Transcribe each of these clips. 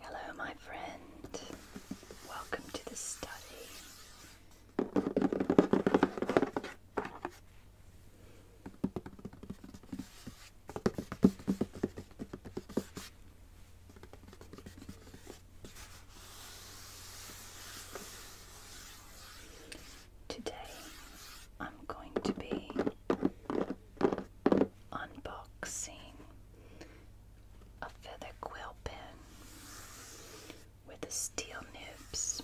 Hello, my friend. Welcome to the study. Today I'm going to be unboxing a feather quill pen with the steel nibs.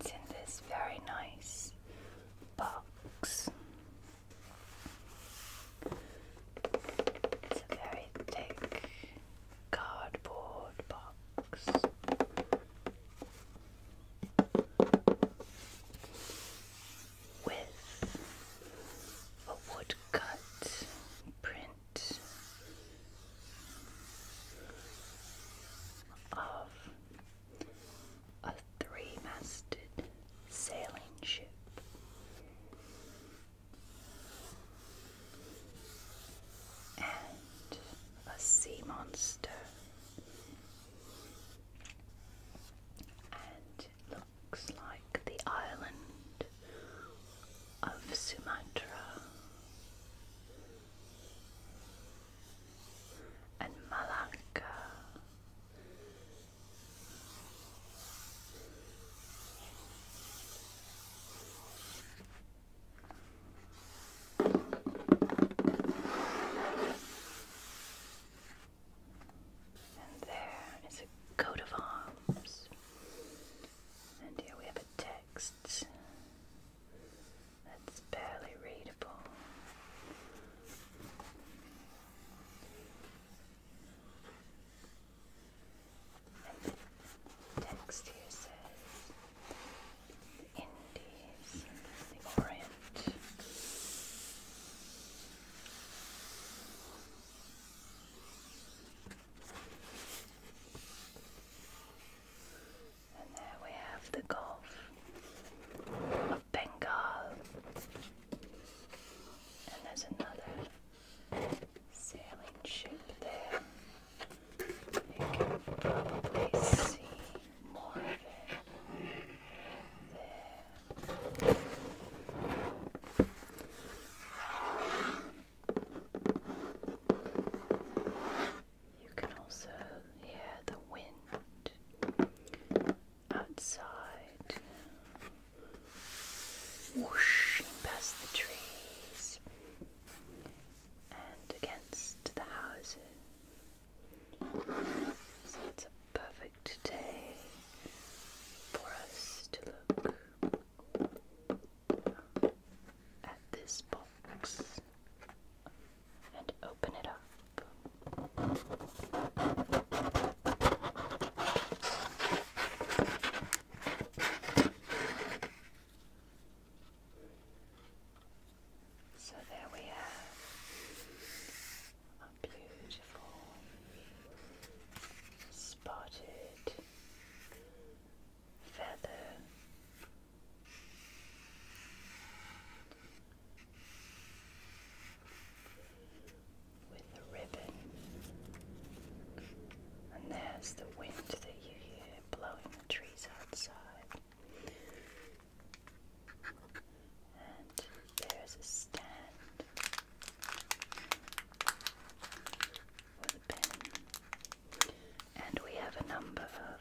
It's in this very nice box. It's a very thick cardboard box with a woodcut print of a three-masted sailing ship. And a sea monster and it looks like the island of Sumatra and Malacca. And there is a coat of arms. And here we have a text that's barely readable. the text here says the Indies, the Orient. And there we have the Gulf of Bengal. And there's another sailing ship there. You can probably see more of it also hear the wind outside whooshing past the trees and against the houses. So it's a perfect day for us to look at this box and open it up. So there we have a beautiful spotted feather. With the ribbon, and there's the wind that you hear blowing the trees outside. And there's a stand with a pen. And we have a number of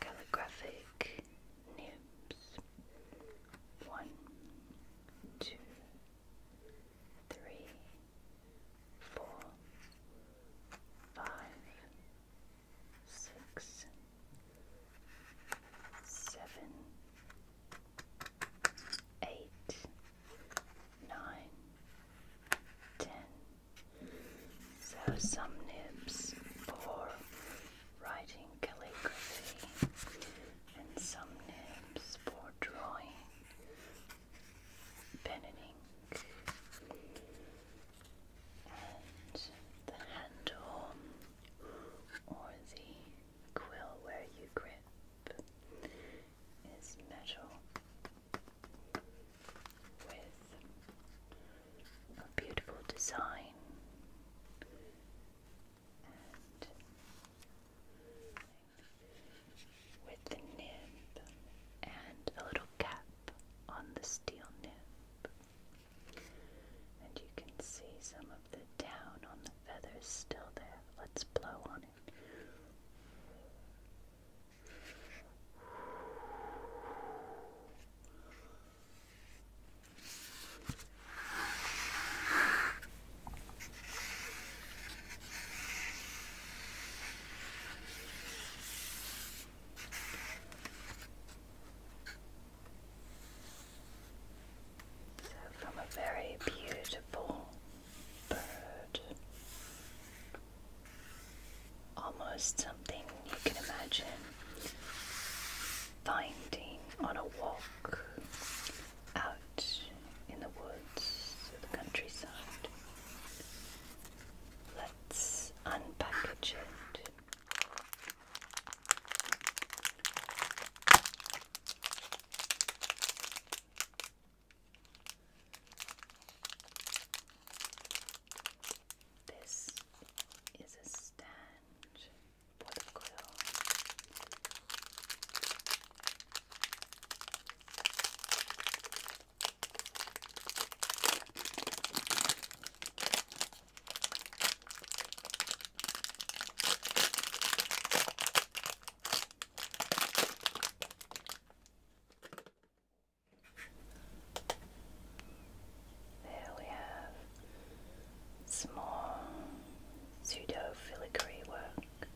calligraphic nibs. One, two, three, four, five, six, seven, eight, nine, ten. So some nibs for writing calligraphy and some nibs for drawing, pen and ink and the handle or the quill where you grip is metal with a beautiful design and with the nib and a little cap on the steel nib. And you can see some of the down on the feathers still there. Let's blow on it. So, from a very beautiful bird, almost something you can imagine finding on a walk out in the woods the countryside. Let's unpack it. This is a stand for the quill. There we have small pseudo filigree work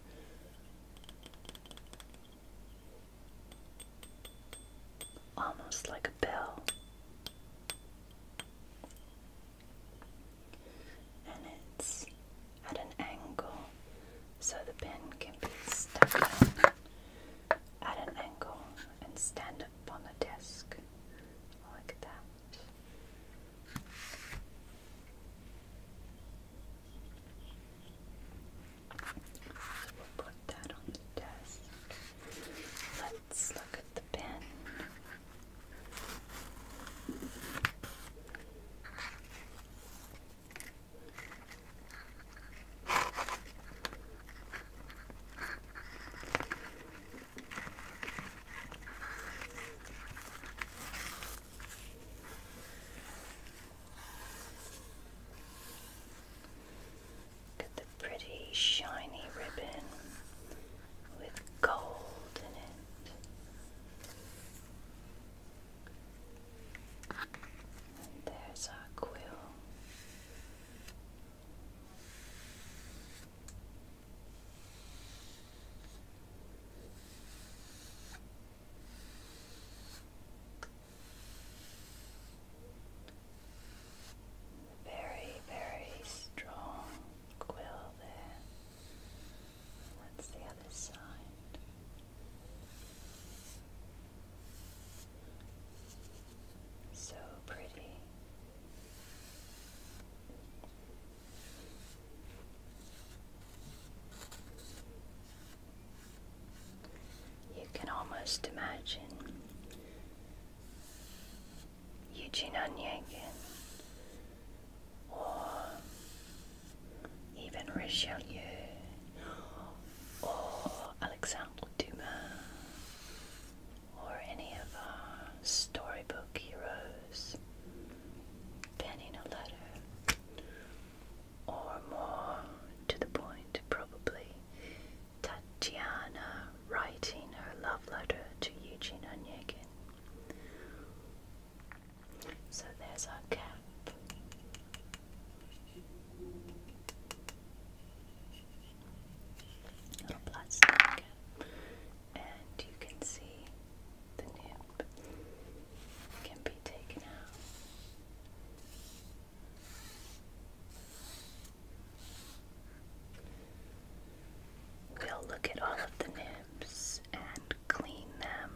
almost like a bell. And it's at an angle so the pin can be stuck at an angle and stand up on the desk like that. So we'll put that on the desk. Let's look at the pen. Look at the pretty shiny ribbon with gold in it. And there's our quill. Very, very strong quill there. That's the other side. So pretty. You can almost imagine Eugene Onegin or even Richelieu or Alexandre Dumas or any of our storybook heroes penning a letter or more to the point probably Tatiana writing her love letter to Eugene Onegin. So there's our cap. Little plastic And you can see the nib can be taken out. We'll look at all of the nibs and clean them,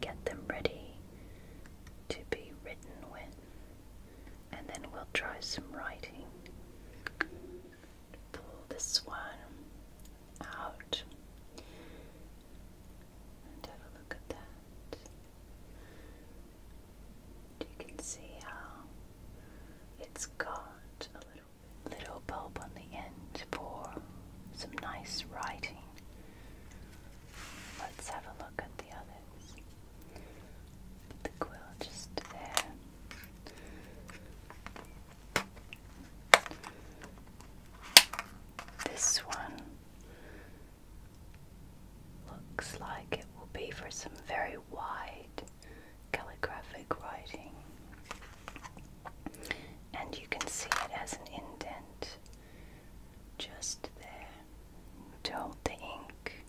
get them ready to be written with, and then we'll try some writing. Pull this one out have a look at that. You can see how it's got a little, little bulb on the end for some nice writing. Let's have a look at the others. the quill just there. This one Looks like it will be for some very wide calligraphic writing. And you can see it as an indent just there to hold the ink.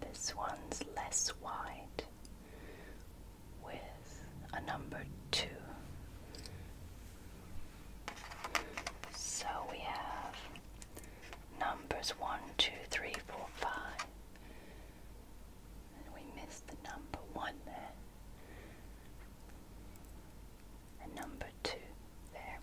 This one's less wide, with a number two. So we have numbers one, two, three, four, five. And we missed the number one there. And number two there.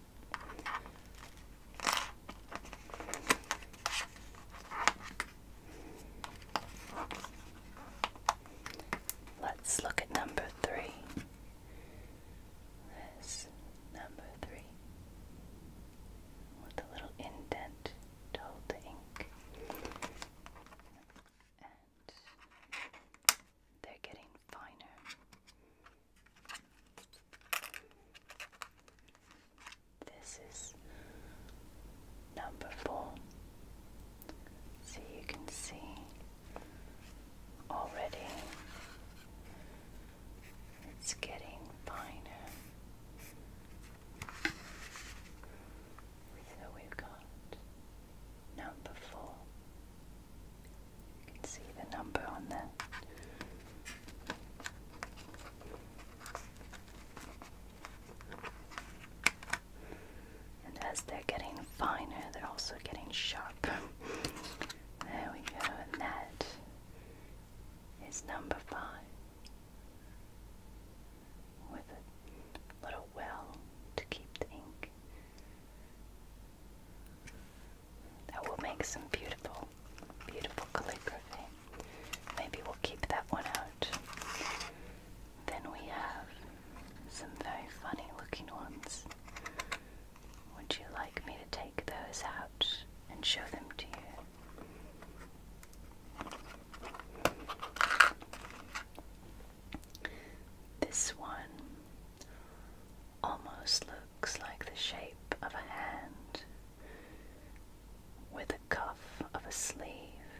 Let's look at number three. This number three with a little indent to hold the ink. they're getting finer. This is number four. So you can see already it's getting finer. So we've got number four. You can see the number on there. And as they're getting finer, they're also getting sharp. there we go, and that is number five. With a little well to keep the ink. That will make some beautiful, beautiful calligraphy. Maybe we'll keep that one out then we have some very funny looking ones. Would you like me to take those out and show them to you? This one almost looks like the shape of a hand with a cuff of a sleeve.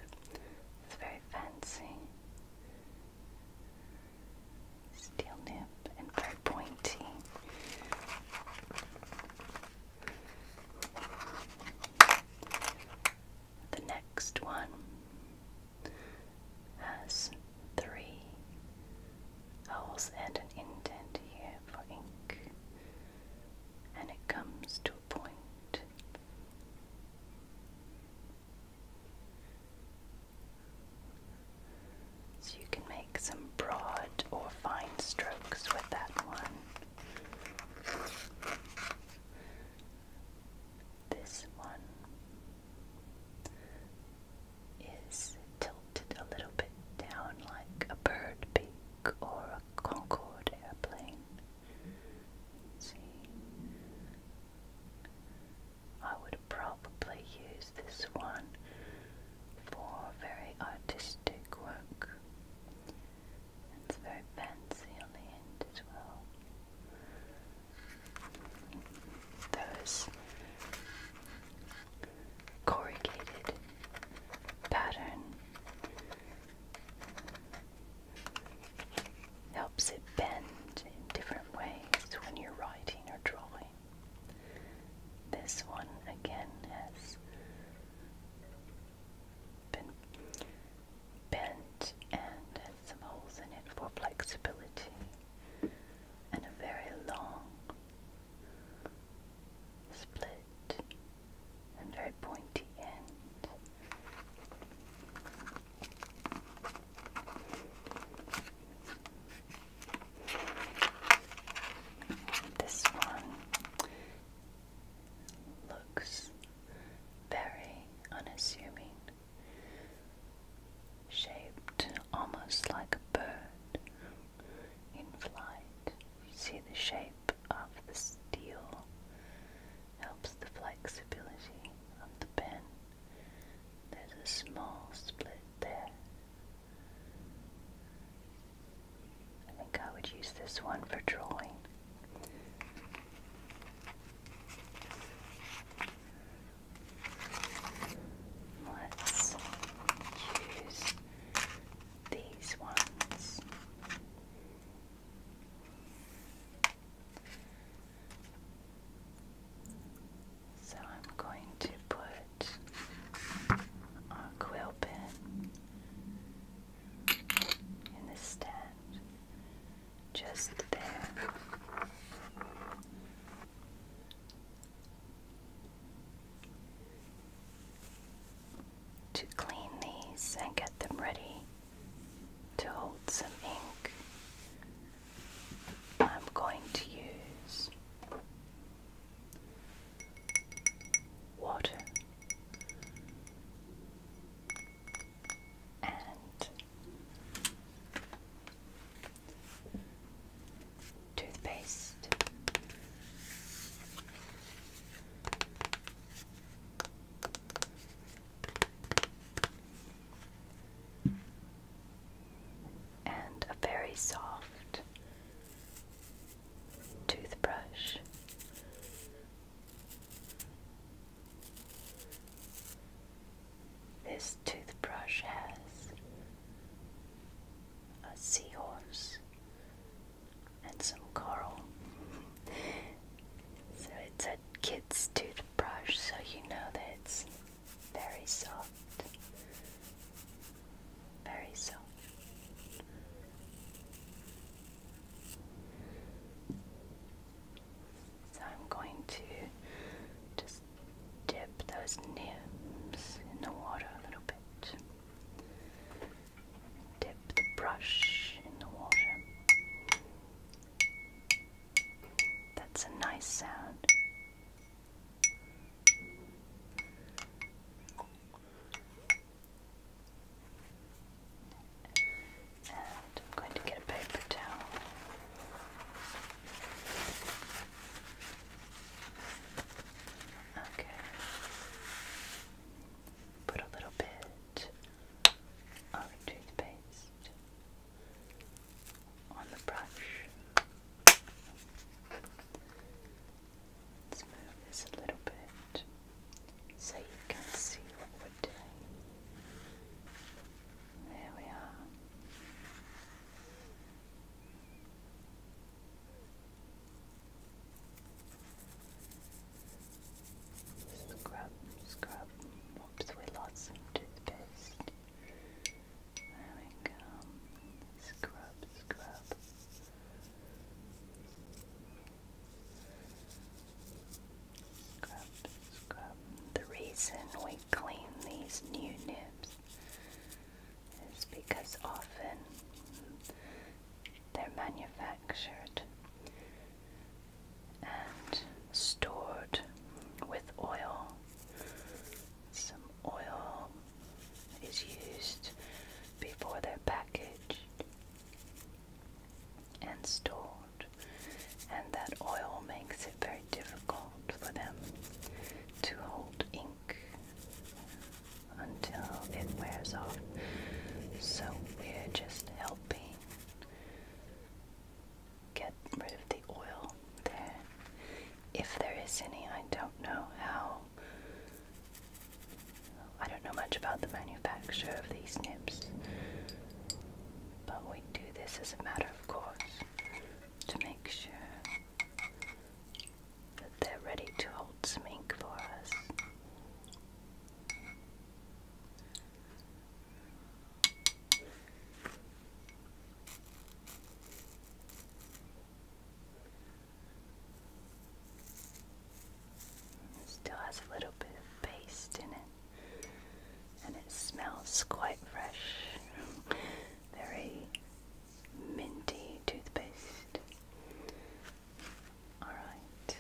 It's very fancy. Steel nib and very pointy. The next one has three holes and an indent here for ink, and it comes to a point so you can make some broad or fine strokes with that one. This one is tilted a little bit down like a bird beak or a Concorde airplane. See, I would probably use this one for very artistic work. It's very fancy on the end as well. Those corrugated pattern helps it bend in different ways when you're writing or drawing. This one again has been bent and has some holes in it for flexibility and a very long split and very pointy end. This one looks very unassuming, shaped almost like a bird in flight. You see the shape of the steel helps the flexibility of the pen. There's a small split there. I think I would use this one for drawing. Let's choose these ones. So I'm going to put our quill pen in the stand just there. To clean these and get them ready to hold some ink, I'm going to use water and toothpaste and a very soft toothbrush. This toothbrush has a seahorse and some coral So it's a kid's toothbrush, so you know that it's very soft. Very soft. So I'm going to just dip those nibs in the water a little bit. Dip the brush in the water. That's a nice sound. I'm going to get a paper towel. Okay. Put a little bit or toothpaste on the brush. Let's move this a little bit so you can see what we're doing. There we are. Scrub, scrub. Oops, we lost some toothpaste. There we go. Scrub, scrub. Scrub, scrub. The reason we clean these new nibs is because often they're manufactured and stored with oil. Some oil is used before they're packaged and stored, and that oil makes it very difficult for them to hold ink until it wears off. So we're just helping get rid of the oil there. If there is any, I don't know how. I don't know much about the manufacture of these nips, but we do this as a matter of course to make sure that they're ready to hold some ink for us. It still has a little bit of paste in it, and it smells quite fresh. Very minty toothpaste. Alright.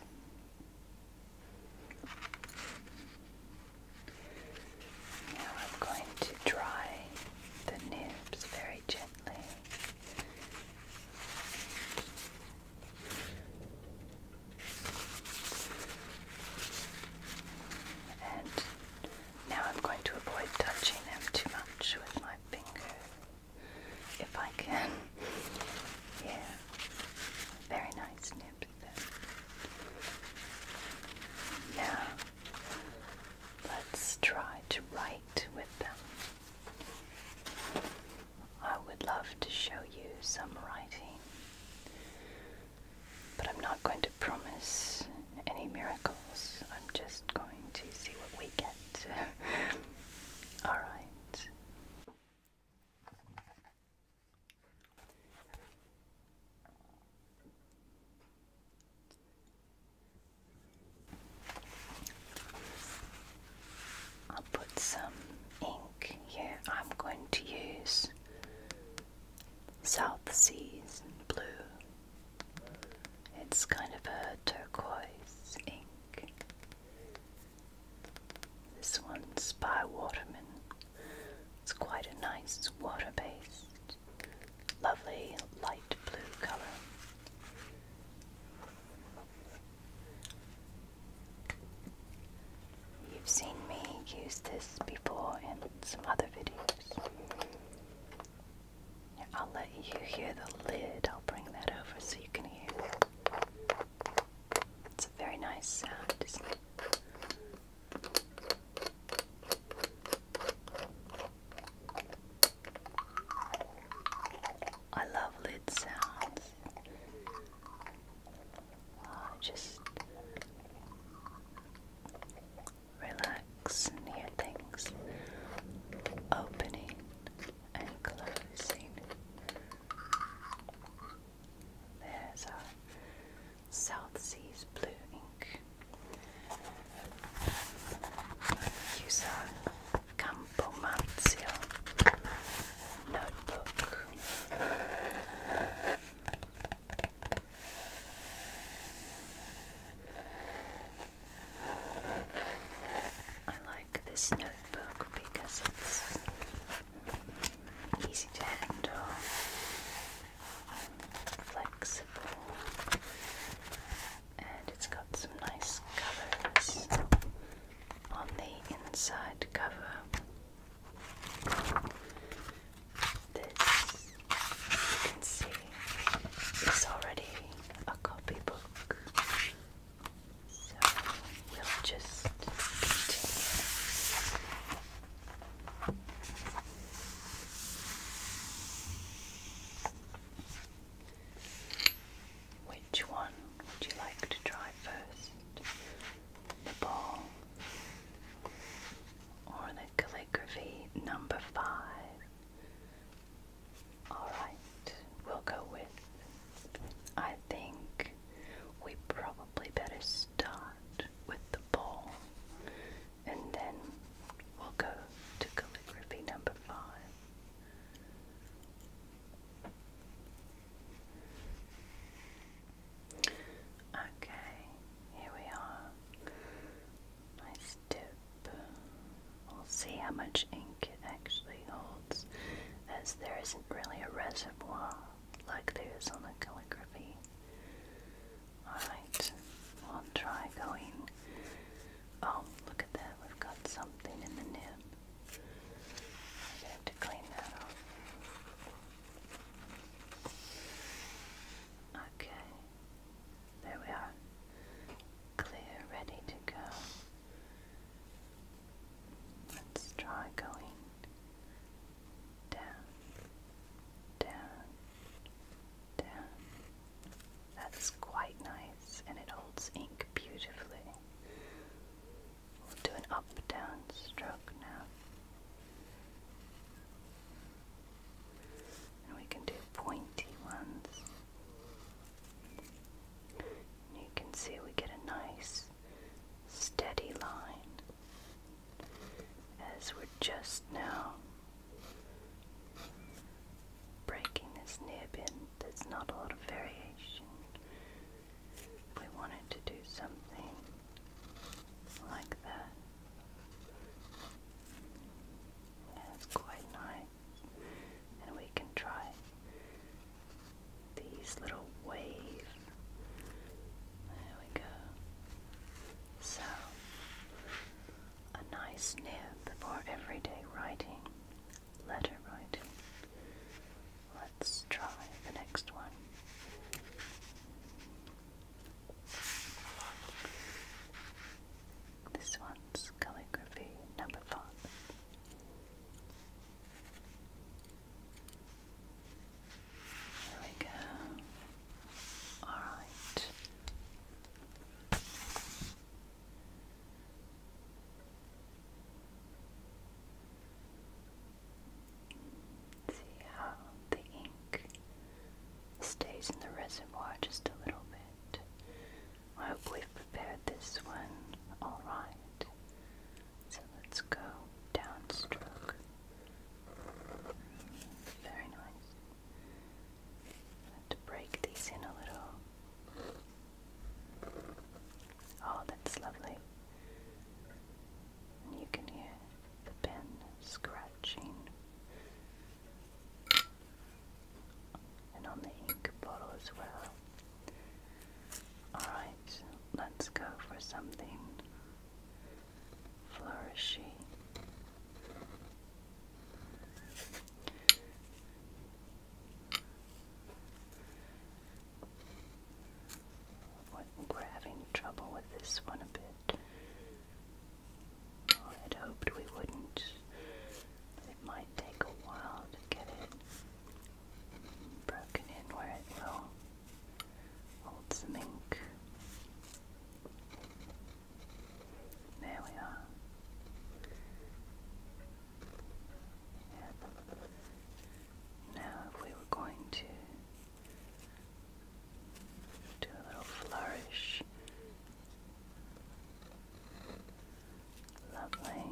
Now I'm going to dry the nibs very gently. And now I'm going to avoid touching them too much with my finger if I can. Yeah, very nice nibs. Now, let's try to write with them. I would love to show you some writing, but I'm not going to promise any miracles. I'm just going to see what we get. Alright. I'll put some ink here. I'm going to use South Seas Blue. It's kind of a turquoise ink. This one's by Waterman. It's quite a nice water based, lovely light blue color. You've seen me use this before in some other videos. I'll let you hear the lid. I'll bring that over so you can hear it's a very nice sound, I love lid sounds. Oh, just relax hear things opening and closing. There's a South Seas blue ink. Use our Campomarzio notebook. I like this notebook because it's easy to handle, flexible, and it's got some nice covers on the inside cover. This, you can see, is already a copybook which one would you like to try first? The ball or the calligraphy number five? Alright, we'll go with. I think we probably better start with the ball and then we'll go to calligraphy number five. Okay, here we are. Nice dip. We'll see how much ink it actually holds, as there isn't really a reservoir like there is on the calligraphy. Alright, we'll try going. Oh, look at that, we've got something in the nib. i have to clean that off. Okay, there we are. Clear, ready to go. Let's try going down, down, down. That's quite nice and it holds ink beautifully. We'll do an up down stroke now. And we can do pointy ones. And you can see we get a nice steady line as we're just now breaking this nib in. There's not a lot of variation. If we wanted to do something like that. it's quite nice. And we can try these little waves. There we go. So, a nice nib for everyday writing, letter writing. Let's try the next one. This one's calligraphy number five. There we go. Alright. See how the ink stays in the reservoir just a little bit. I hope we've prepared this one all right. So let's go downstroke. Very nice. I have break these in a little. Oh, that's lovely. And you can hear the pen scratching. And on the ink bottle as well. Alright, let's go for something flourishing. We're having trouble with this one a bit. I'd hoped we wouldn't. It might take a while to get it broken in where it will Hold some ink. There we are. Now, if we were going to do a little flourish, lovely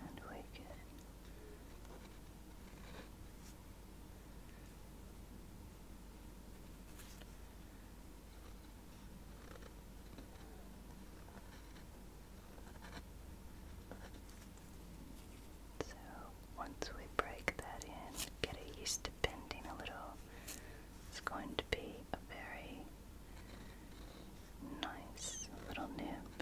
and wicked. So once we break that in, get a yeast bending a little, it's going to be a very nice little nib.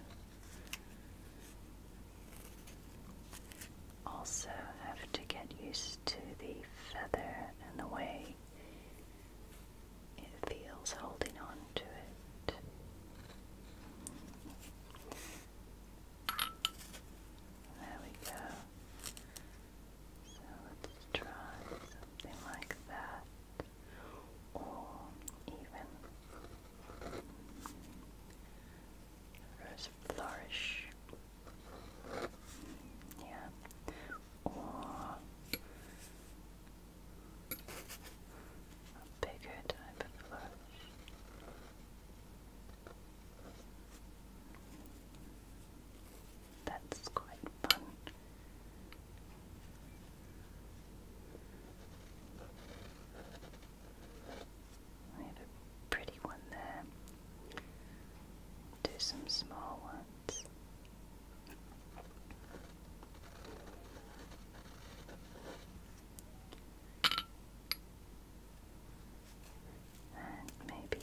Also, have to get used to the feather and the way it feels holding on to it. There we go. So let's try something like that or even rose flourish. Yeah. Or a bigger type of flourish. That's quite fun. I have a pretty one there. Do some small ones. And maybe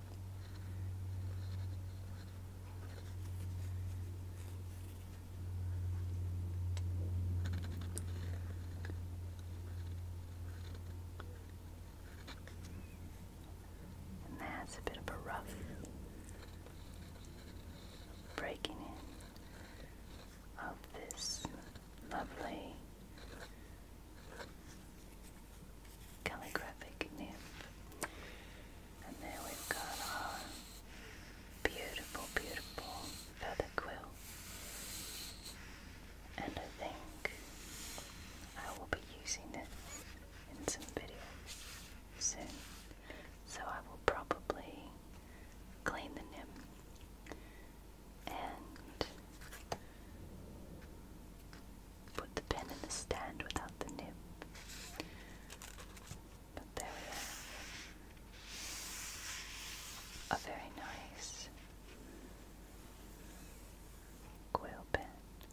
And that's a bit of a rough breaking in of this lovely calligraphic nymph. And there we've got our beautiful, beautiful feather quill. And I think I will be using this in some videos soon. So I will probably clean the nymph and Put the pen in the stand without the nib. But there we are. A very nice quill pen.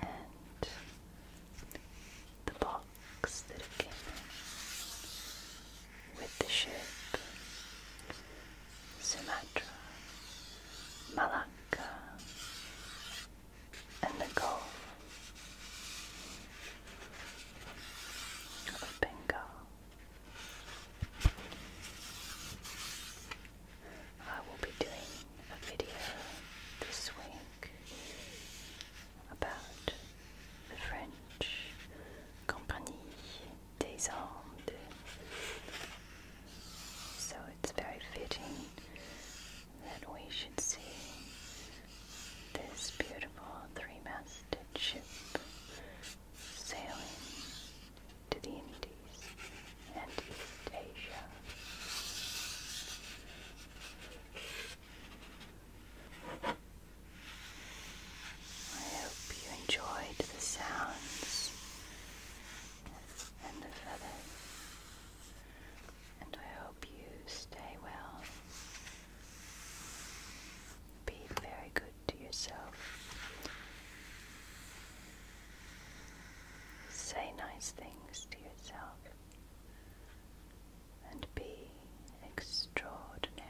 And the box that it came in with the shape Sumatra, Malacca, and the Gulf of Bengal. I will be doing a video this week about the French Compagnie disarmed. So it's very fitting that we should see this beautiful three-masted ship sailing to the Indies and East Asia. I hope you enjoyed the sounds and the feathers. And I hope you stay well. Be very good to yourself. Say nice things to yourself. And be extraordinary.